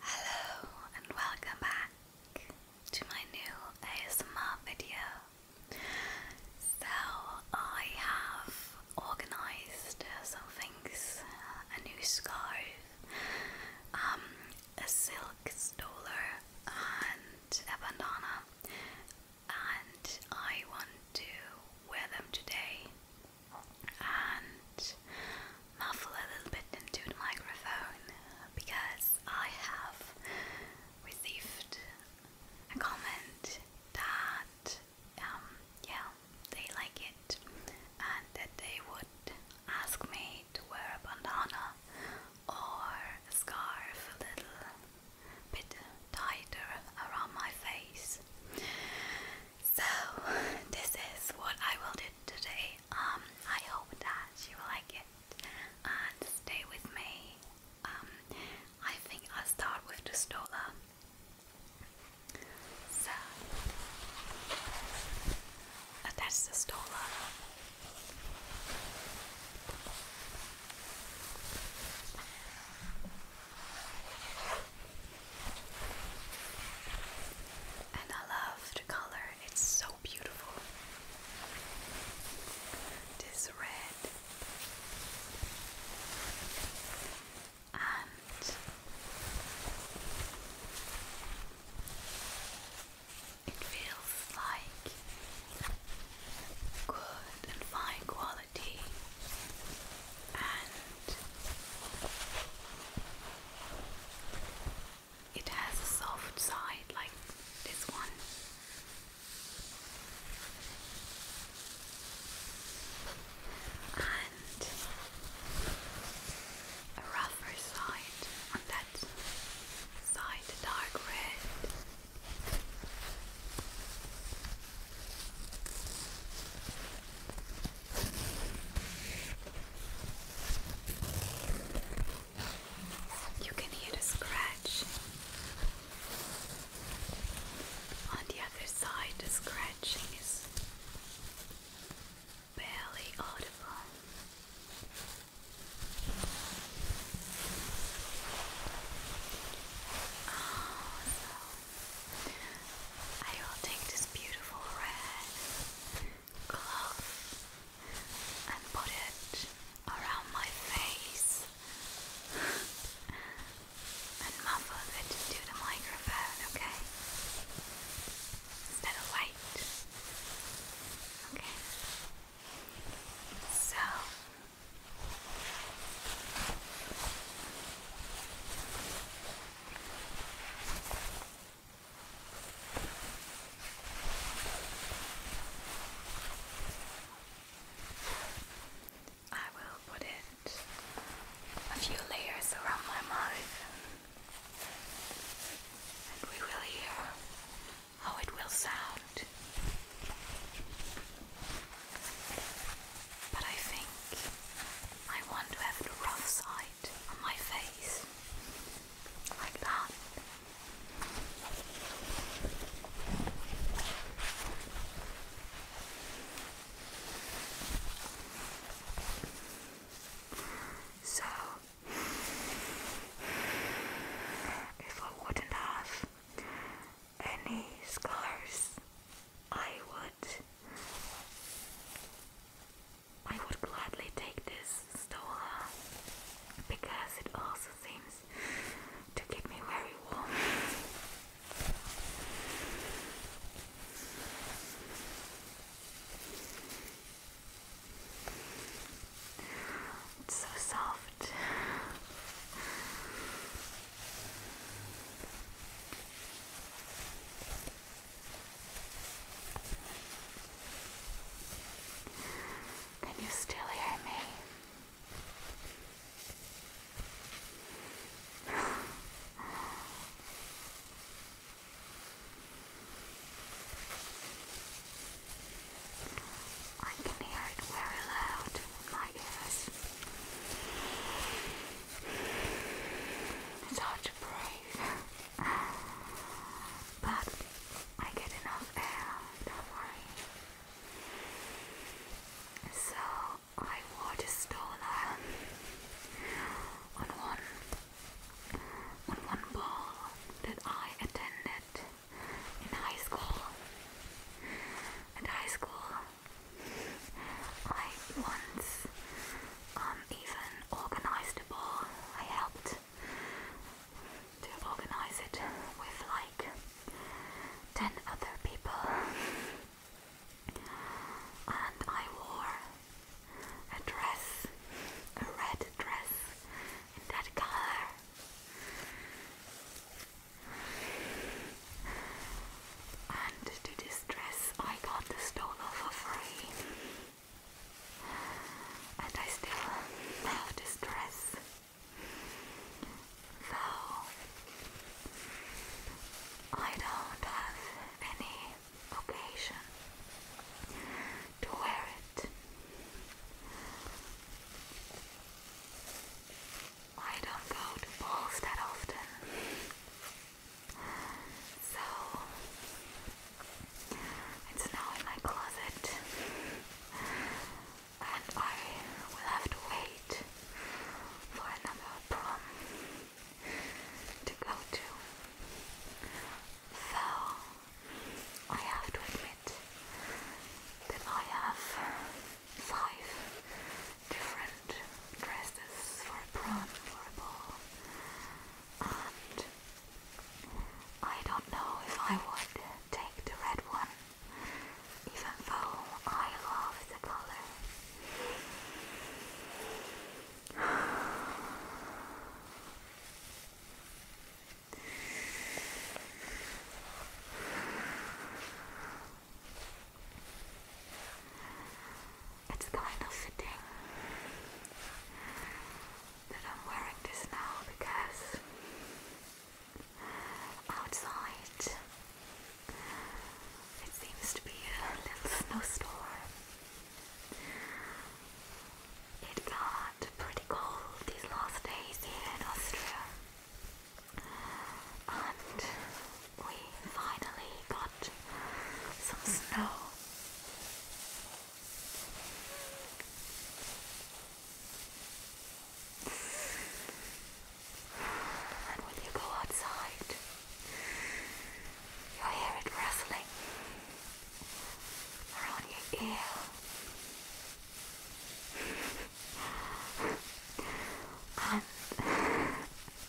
Hello and welcome back to my new ASMR video. So I have organised some things, a new scarf, um, a silk stole and a bandana and I want to wear them today and muffle a little bit into the microphone because I have received a comment that um yeah they like it and that they would ask me to wear a bandana or a scarf a little bit tighter around my face so this is what I will do today. Um, I hope that you will like it and stay with me. Um, I think i start with the stola. So attach the stola. And I love the color, it's so beautiful. This red and it feels like good and fine quality and it has a soft side like this one. And a rougher side on that side, dark red. You can hear the scratch. On the other side, the scratching is barely audible. Oh, so I will take this beautiful red cloth and put it around my face and muffle it to the microphone, okay? Instead of white. Okay. So I will put it a few layers around my mouth and we will hear how it will sound. But I think I want to have the rough side on my face like that. So, if I wouldn't have any scars, I would I would gladly take this stola because it also seems to keep me very warm. It's so soft. Can you still hear me? I can hear it very loud in my ears. It's hard to breathe. But I get enough air, don't worry. So I water stolen on one on one ball that I attended in high school. At high school I once um, even organised a ball. I helped to organise it with like 10 other people. And I wore a dress, a red dress in that color. And to this dress I got the stola for free and I still have this dress. Though I don't have any occasion to wear it. I don't go to balls that often. So it's now in my closet, and I will have to wait for another prom to go to. So I have to admit that I have five different dresses for a prom, for a ball. I don't know if I would take the red one, even though I love the color it's kind of fitting that I'm wearing this now because outside it seems to be a little snowstorm. It got pretty cold these last days here in Austria. And we finally got some snow. And when you go outside, you hear it rustling around your ear. and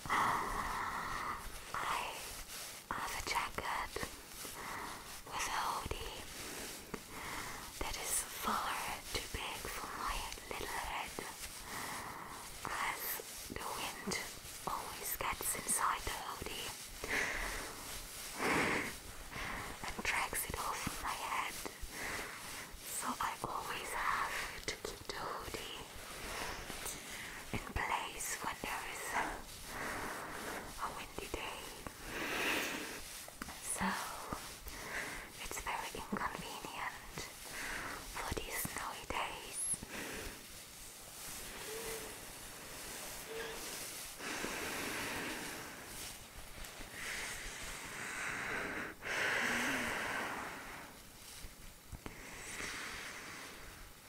I I have a jacket with a hoodie that is far too big for my little head as the wind always gets inside the hoodie and drags it off my head so I always have to keep the hoodie in place when there is a windy day. So it's very inconvenient for these snowy days.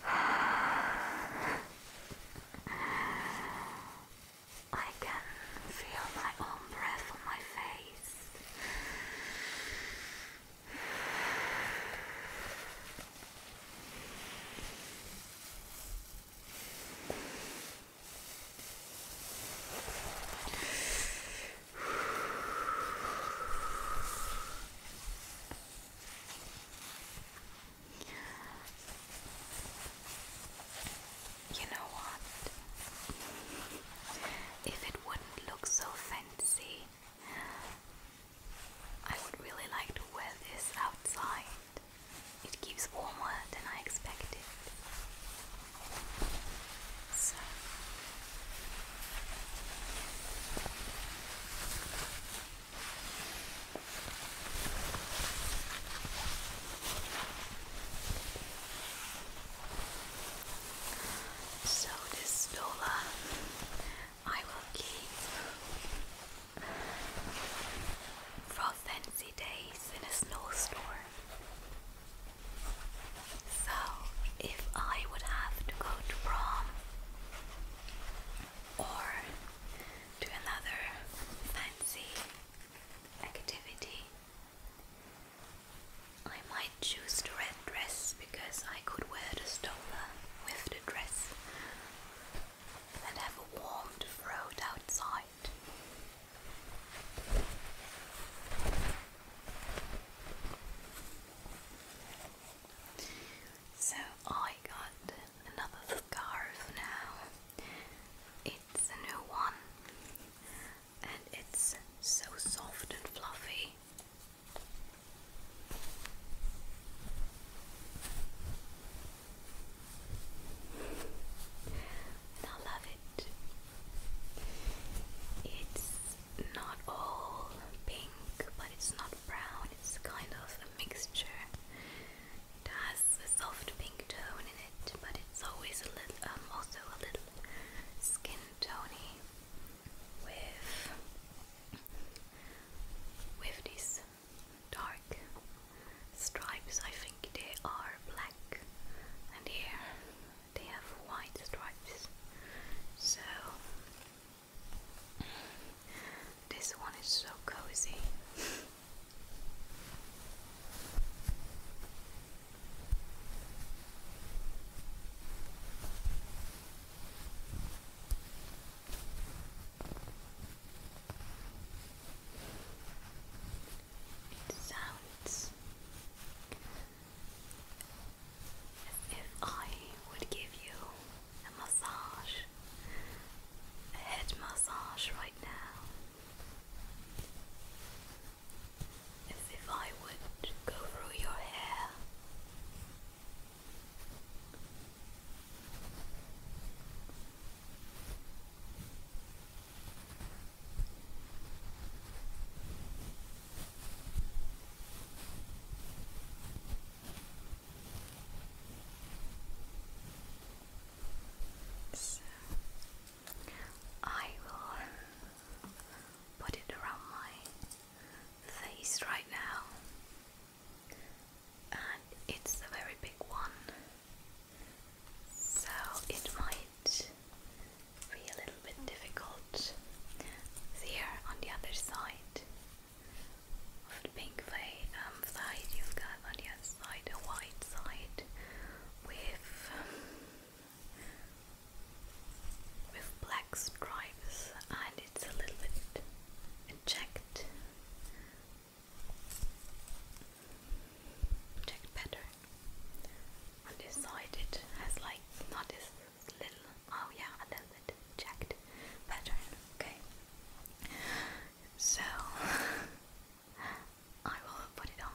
I can feel my own breath on my face. You know what? If it wouldn't look so fancy, I would really like to wear this outside. It keeps warmer than I expected. So. So does dollar I will keep for fancy days in a snowstorm. So if I would have to go to prom or to another fancy activity. I might choose the red dress because I could wear the stroller with the dress and have a warm throat outside. So I got another scarf now. It's a new one and it's so soft and fluffy. I love it. It's not all pink, but it's not brown, it's kind of a mixture. It has a soft pink tone in it, but it's always a little, um, also a little skin tony with with these dark stripes. I think they are black, and here they have white stripes. So this one is so cozy. It sounds if I would give you a massage, a head massage right now, if I would go through your hair. So I will put it around my face right now, and it's a very big one, so it might be a little bit difficult. There on the other side of the pink um, side, you've got on the side a white side with with black stripes, and it's a little bit checked checked pattern. On this side, it has like not this little. Oh yeah, a little bit checked pattern. Okay. So I will put it on.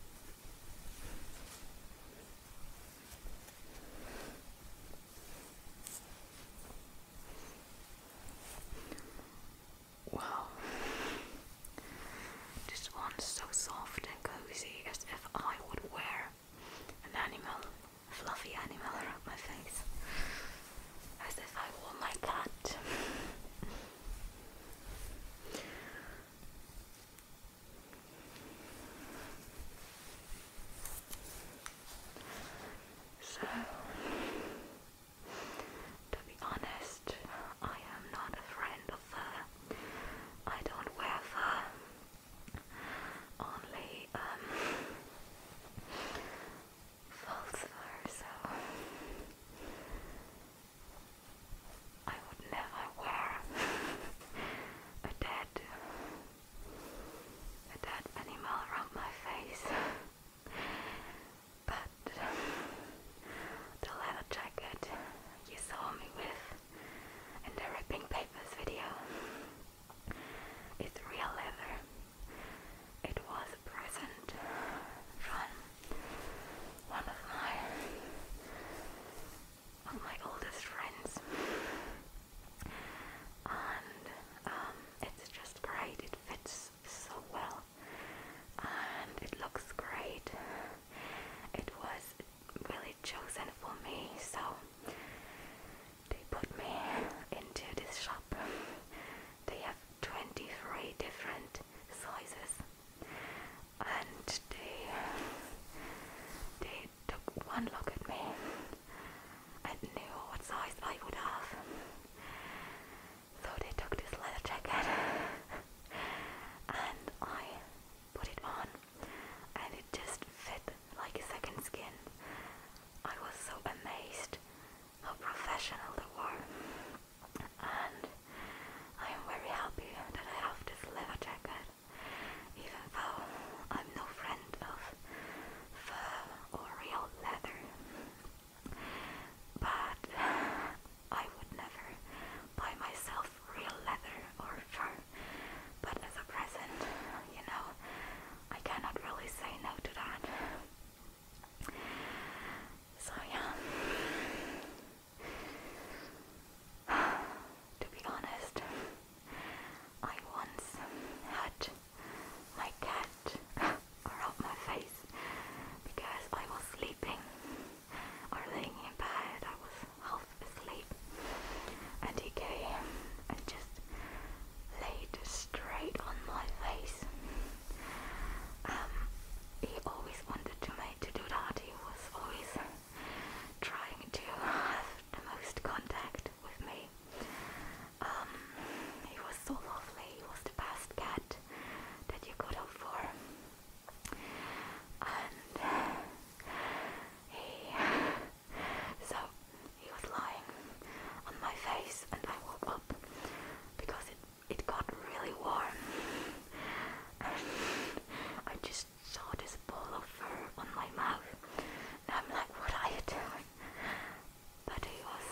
Wow. This one's so soft and cozy as if I would wear an animal, fluffy animal around my face. As if I wore my cat. So, to be honest, I am not a friend of fur. I don't wear fur. Only um, false fur, so I would never wear a dead a dead animal around my face. But the leather jacket you saw me with in the ripping papers video is real leather. It was a present from one of my of my oldest friends. And um, it's just great, it fits so well, and it looks great. It was really chosen for me, so they put me into this shop. They have 23 different sizes and they they took one look at me and knew what size I would have. So they took this leather jacket and I put it on and it just fit like a second skin. I was so amazed how professional they were and I am very happy that I have this leather jacket even though I'm no friend of fur or real leather. But I would never buy myself real leather or fur. But as a present, you know, I cannot really say no to that. So yeah to be honest, I once had my cat around my face because I was sleeping or laying in bed. I was half asleep, and he came and just laid straight on my face. Um, he always wanted to make to do that. He was always trying to have the most contact with me. Um, he was so lovely, he was the best cat that you could hope for. And he, so he was lying on my face and I woke up because it, it got really warm. I just saw this ball of fur on my mouth. And I'm like, what are you doing? But he was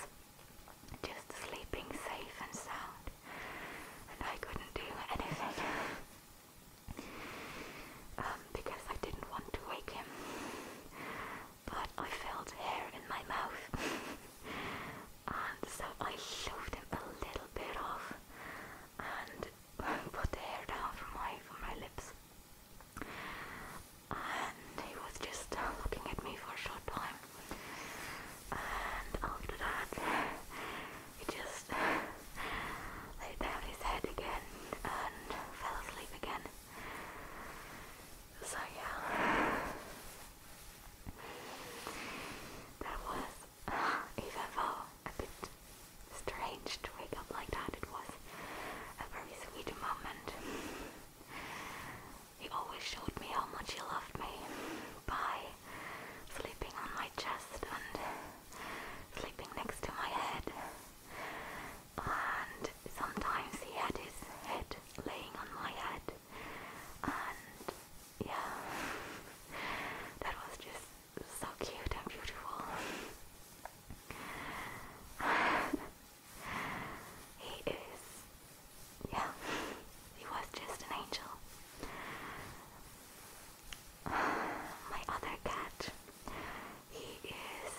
just sleeping safe and sound. And I couldn't do anything. um, because I didn't want to wake him. But I felt hair in my mouth. and so I shoved him a little bit off. And put the hair down from my from my lips. And he was just uh, looking at me for a short time. And after that, he just laid down his head again and fell asleep again. So yeah, that was even though a bit strange to wake up like that, it was a very sweet moment. He always showed me how much he loved me by sleeping on my chest and sleeping next to my head. And sometimes he had his head laying on my head. And yeah, that was just so cute and beautiful. he is, yeah, he was just an angel. My other cat, he is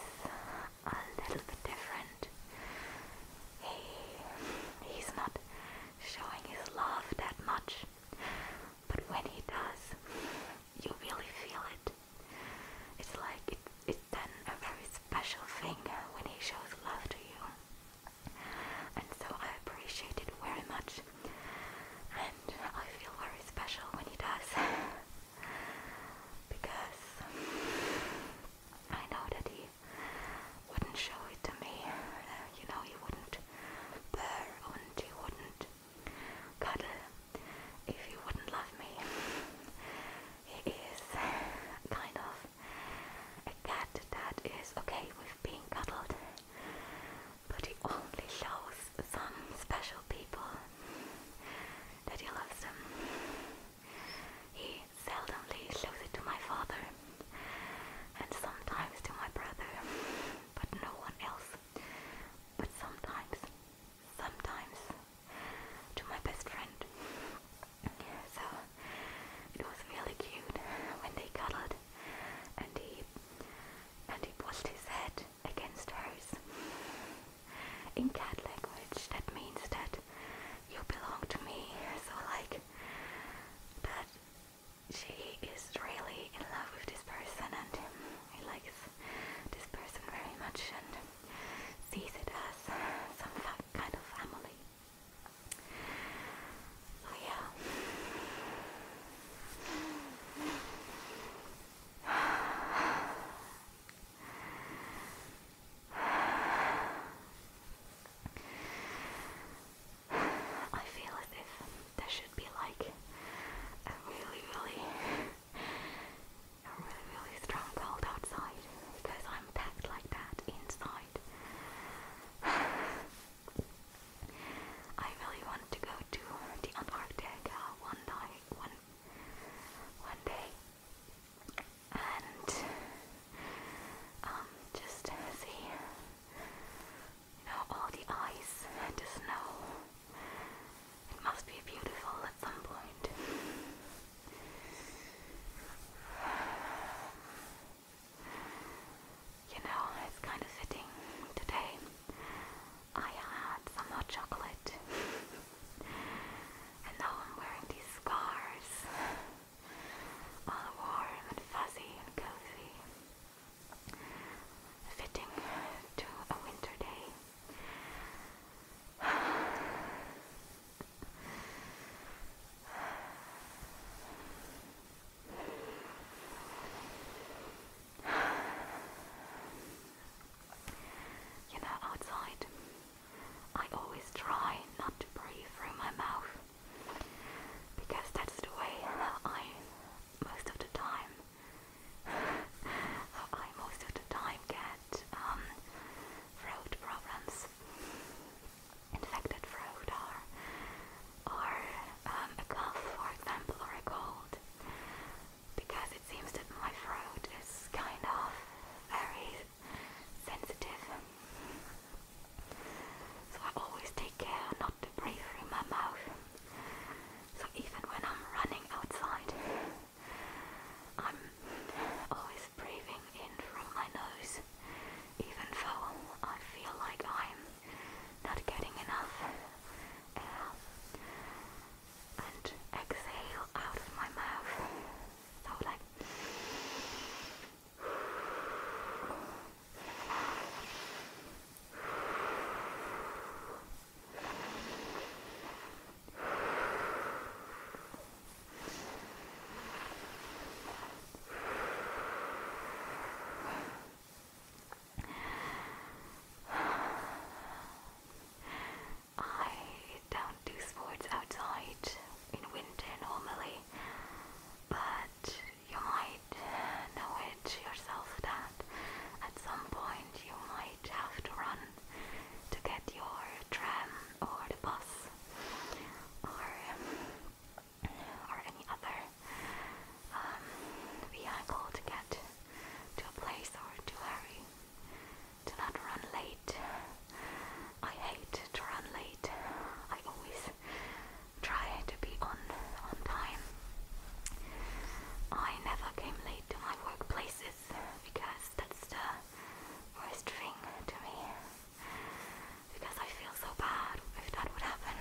a little bit different. He, he's not showing his love that much, but when he does, you really feel it. It's like it, it's then a very special thing when he shows love to you. And so I appreciate it very much. And I feel very special when he does. because I know that he wouldn't show it to me. Uh, you know, he wouldn't purr and he wouldn't cuddle if you wouldn't love me. it is kind of a cat that is okay with being cuddled, but he only shows some special people that he loves them. He seldomly shows it to my father and sometimes to my brother, but no one else. But sometimes, sometimes, to my best friend. So it was really cute when they cuddled, and he and he pushed his head against hers. In cat language, that means that you belong to me. So like that she is really in love with this person and he likes this person very much and sees it as some kind of family. So yeah. I feel as there should be like a really, really, a really, really strong cold outside because I'm packed like that inside. I really wanted to go to the Antarctica one night, one, one day, and um, just see you know, all the ice and the snow. It must be beautiful at some point. You know, it's kind of fitting. Today I had some hot chocolate. and now I'm wearing these scarves. All warm and fuzzy and cozy fitting to a winter day. You know, outside, I always try not to breathe through my mouth because that's the way I, most of the time, I most of the time get um, throat problems. Infected throat or, or um, a cough, for example, or a cold. Because it seems that my throat is kind of very sensitive. So I always take care not breathe through my mouth. So even when I'm running outside, I'm always breathing in from my nose, even though I feel like I'm not getting enough air. And exhale out of my mouth. So like I don't do sports outside in winter normally, but you might know it yourself that at some point you might have to run to get your tram or the bus or or any other um, vehicle to get to a place or to hurry. Do not run late. I hate to run late. I always try to be on on time. I never came to my workplaces, because that's the worst thing to me. Because I feel so bad if that would happen.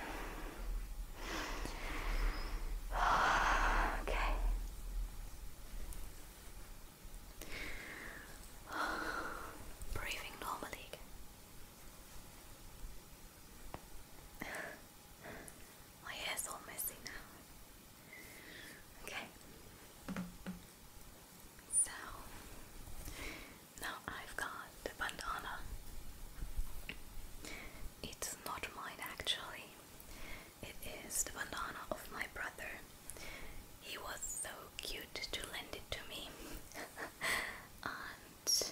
okay. Breathing normally. My oh, hair's all messy now. Okay. So now I've got the bandana. It's not mine actually. It is the bandana of my brother. He was so cute to lend it to me. and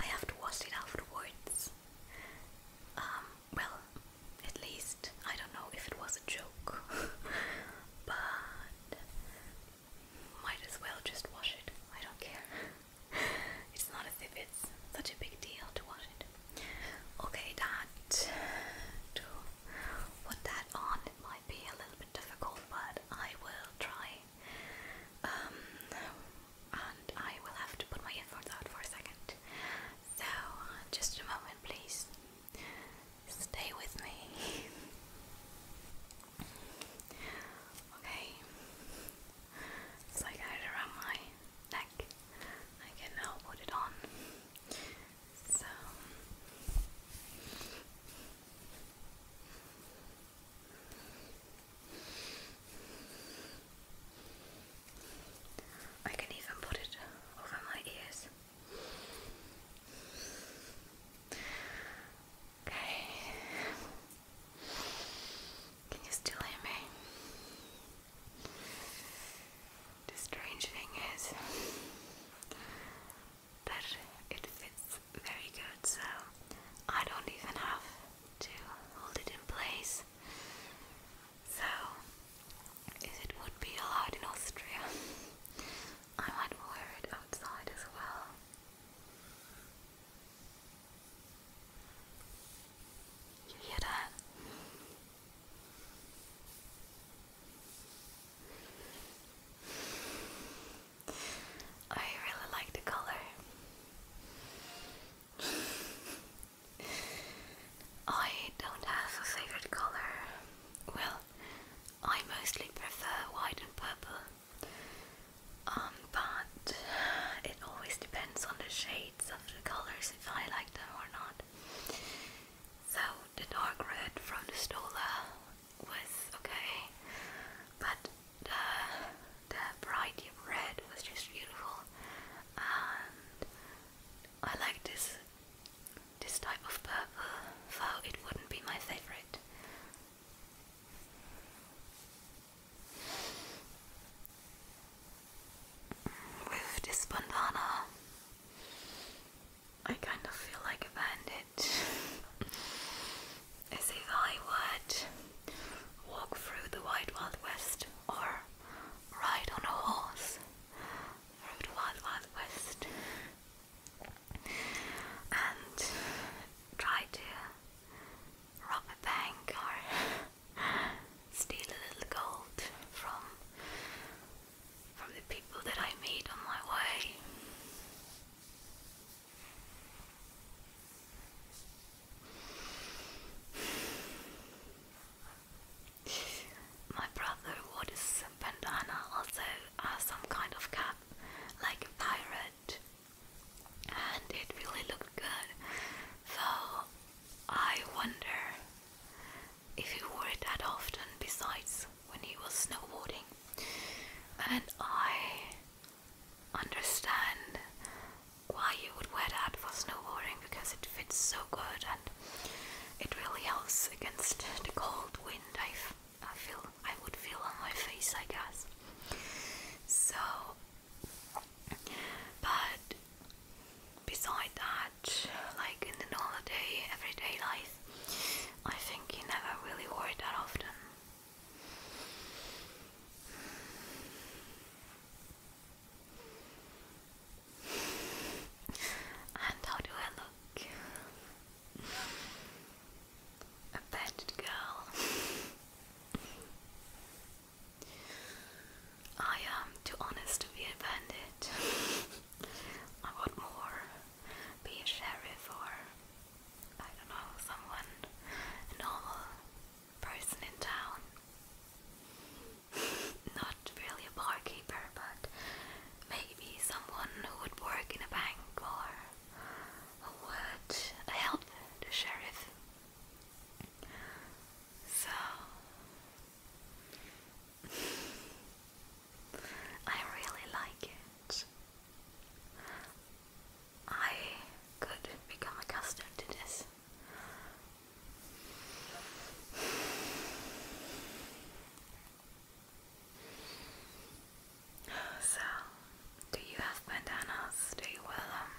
I have to wash it afterwards. Um, well, at least I don't know if it was a joke, but might as well just wash it. I don't care. it's not as if it's such a big deal to wash it. Okay, that to put that on, it might be a little bit difficult, but I will try. Um, and I will have to put my earphones out for a second. So, just a moment, please. Stay with me. okay. It's I had it around my neck. I can now put it on. So. I can even put it over my ears. Okay. Can you still hear me? The strange thing is that it fits very good, so I don't even have to hold it in place. So, if it would be allowed in Austria, I might wear it outside as well. You hear that? I really like the color. I don't have a favorite color. Well, I mostly prefer white and purple. Um, but it always depends on the shades of the colors if I like them or not. So the dark red from the Stola was okay, but the the bright red was just beautiful, and I like this this type of purple, though it wouldn't be my favorite. With this bandana, I kind of feel like a bandit. As if I would walk through the Wild West or ride on a horse through the wild, wild west and try to rob a bank or steal a little gold from from the people that I meet on my way. My brother wore this bandana also as uh, some kind of cap, like a pirate, and it really looked good. Though I wonder if he wore it that often, besides when he was snowboarding. And I understand why you would wear that for snowboarding because it fits so good and it really helps against the cold wind I, feel I would feel on my face I guess so but beside that like in the normal day everyday life I think you never really wore it that often and how do I look? A bad girl. I am too honest to be a I want more. Be a sheriff or, I don't know, someone, normal person in town not really a barkeeper, but maybe someone who would work in a bank or who would help the sheriff. So I really like it. I could become accustomed to this. So, do you have bandanas? Do you wear them?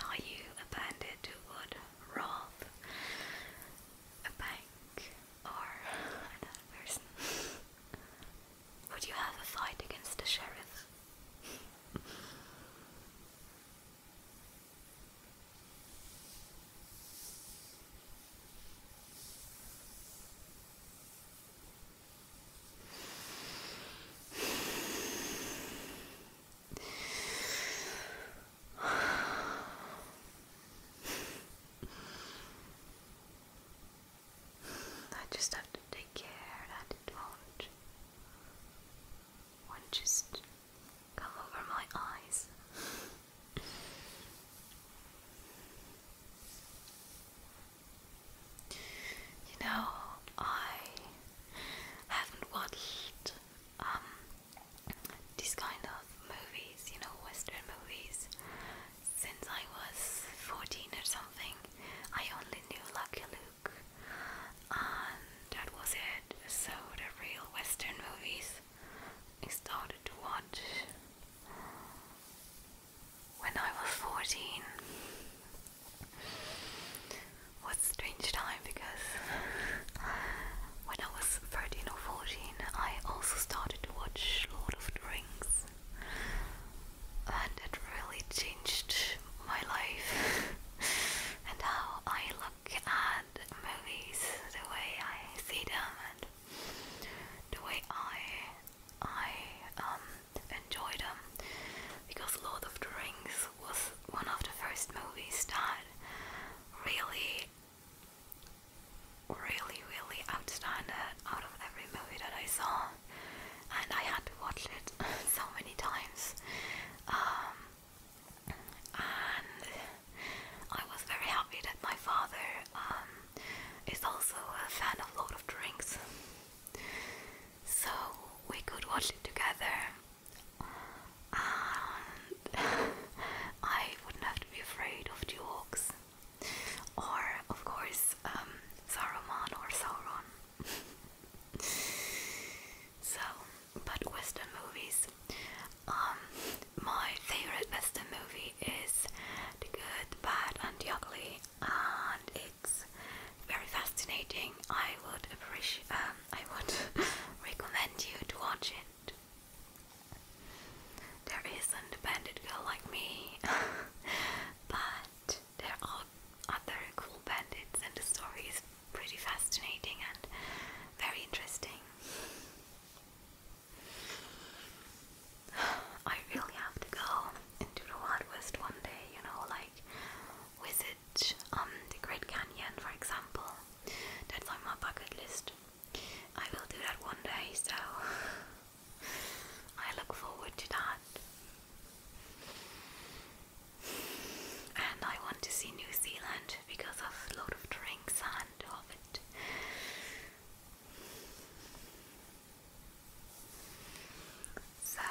Um, are you a bandit would rob a bank or another person? Would you have a fight against the sheriff? I just have to take care that it will one just come over my eyes. you know, I haven't watched um these kind of movies, you know, Western movies, since I was 14 or something. I only knew Lucky and um, that was it. So the real Western movies I started to watch when I was 14. was strange time because when I was 13 or 14 I also started to watch Lord of the Rings and it really changed my life and how I love look movies the way I see them and the way I I um enjoy them because Lord of the Rings was one of the first movies that really really really outstanding out of every movie that I saw and I had to watch it so many times um, and I was very happy that my father um, is also a fan of Lord of the Rings, so we could watch it together, and I wouldn't have to be afraid of the orcs, or of course um, Saruman or Sauron. so but Western movies. Um, my favorite Western movie is The Good, Bad, and the Ugly, and it's very fascinating. I would appreciate. Um, I would recommend you to watch it. There isn't a bandit girl like me, but there are other cool bandits, and the pretty fascinating and very interesting. I really have to go into the Wild West one day, you know, like visit um, the Great Canyon, for example. That's on my bucket list. I will do that one day, so I look forward to that. And I want to see New Zealand because of Lord of the Rings and Hobbit. So,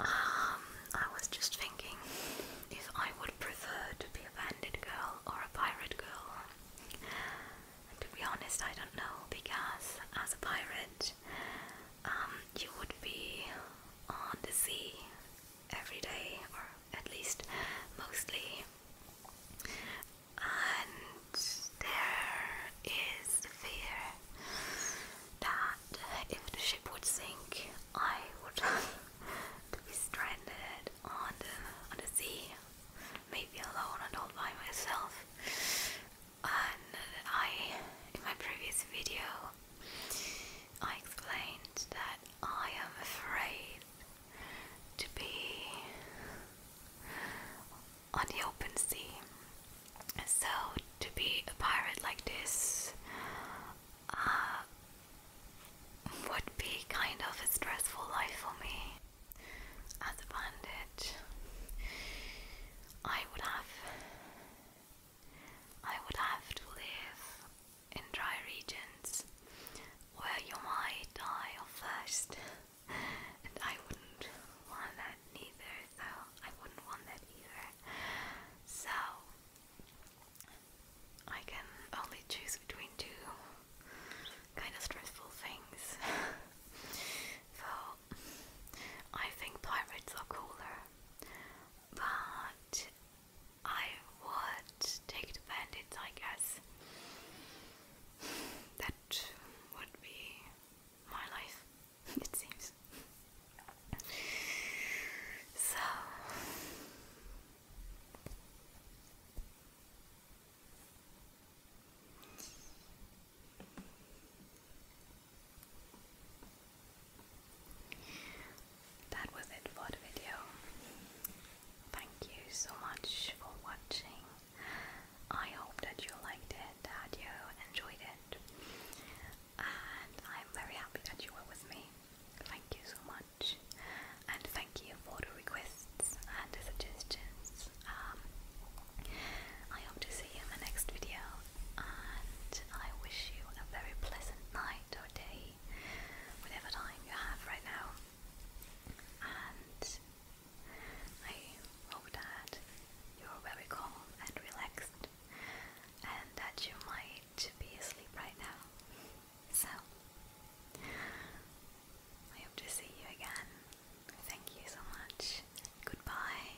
um, I was just thinking if I would prefer to be a bandit girl or a pirate girl. to be honest, I don't know because as a pirate, um, you would be on the sea every day, or at least mostly. And there is the fear that if the ship would sink, I would be stranded on the on the sea, maybe alone and all by myself. And I, in my previous video, I explained that I am afraid to be on the open sea. So, to be a pirate like this uh, would be kind of a stressful life for me. As a bandit, I would have I would have to live in dry regions where you might die of thirst, and I wouldn't want that neither, so I wouldn't want that either. So I can only choose between two kind of stressful things. so I think pirates are cooler but I would take the bandits, I guess. That would be my life, it seems. So. That was it for the video. Thank you so much for watching. I hope that you liked it, that you enjoyed it, and I'm very happy that you were with me. Thank you so much, and thank you for the requests and the suggestions. Um, I hope to see you in the next video and I wish you a very pleasant night or day, whatever time you have right now. And I hope that you're very calm and relaxed, and that you might be asleep right now. So, I hope to see you again. Thank you so much. Goodbye.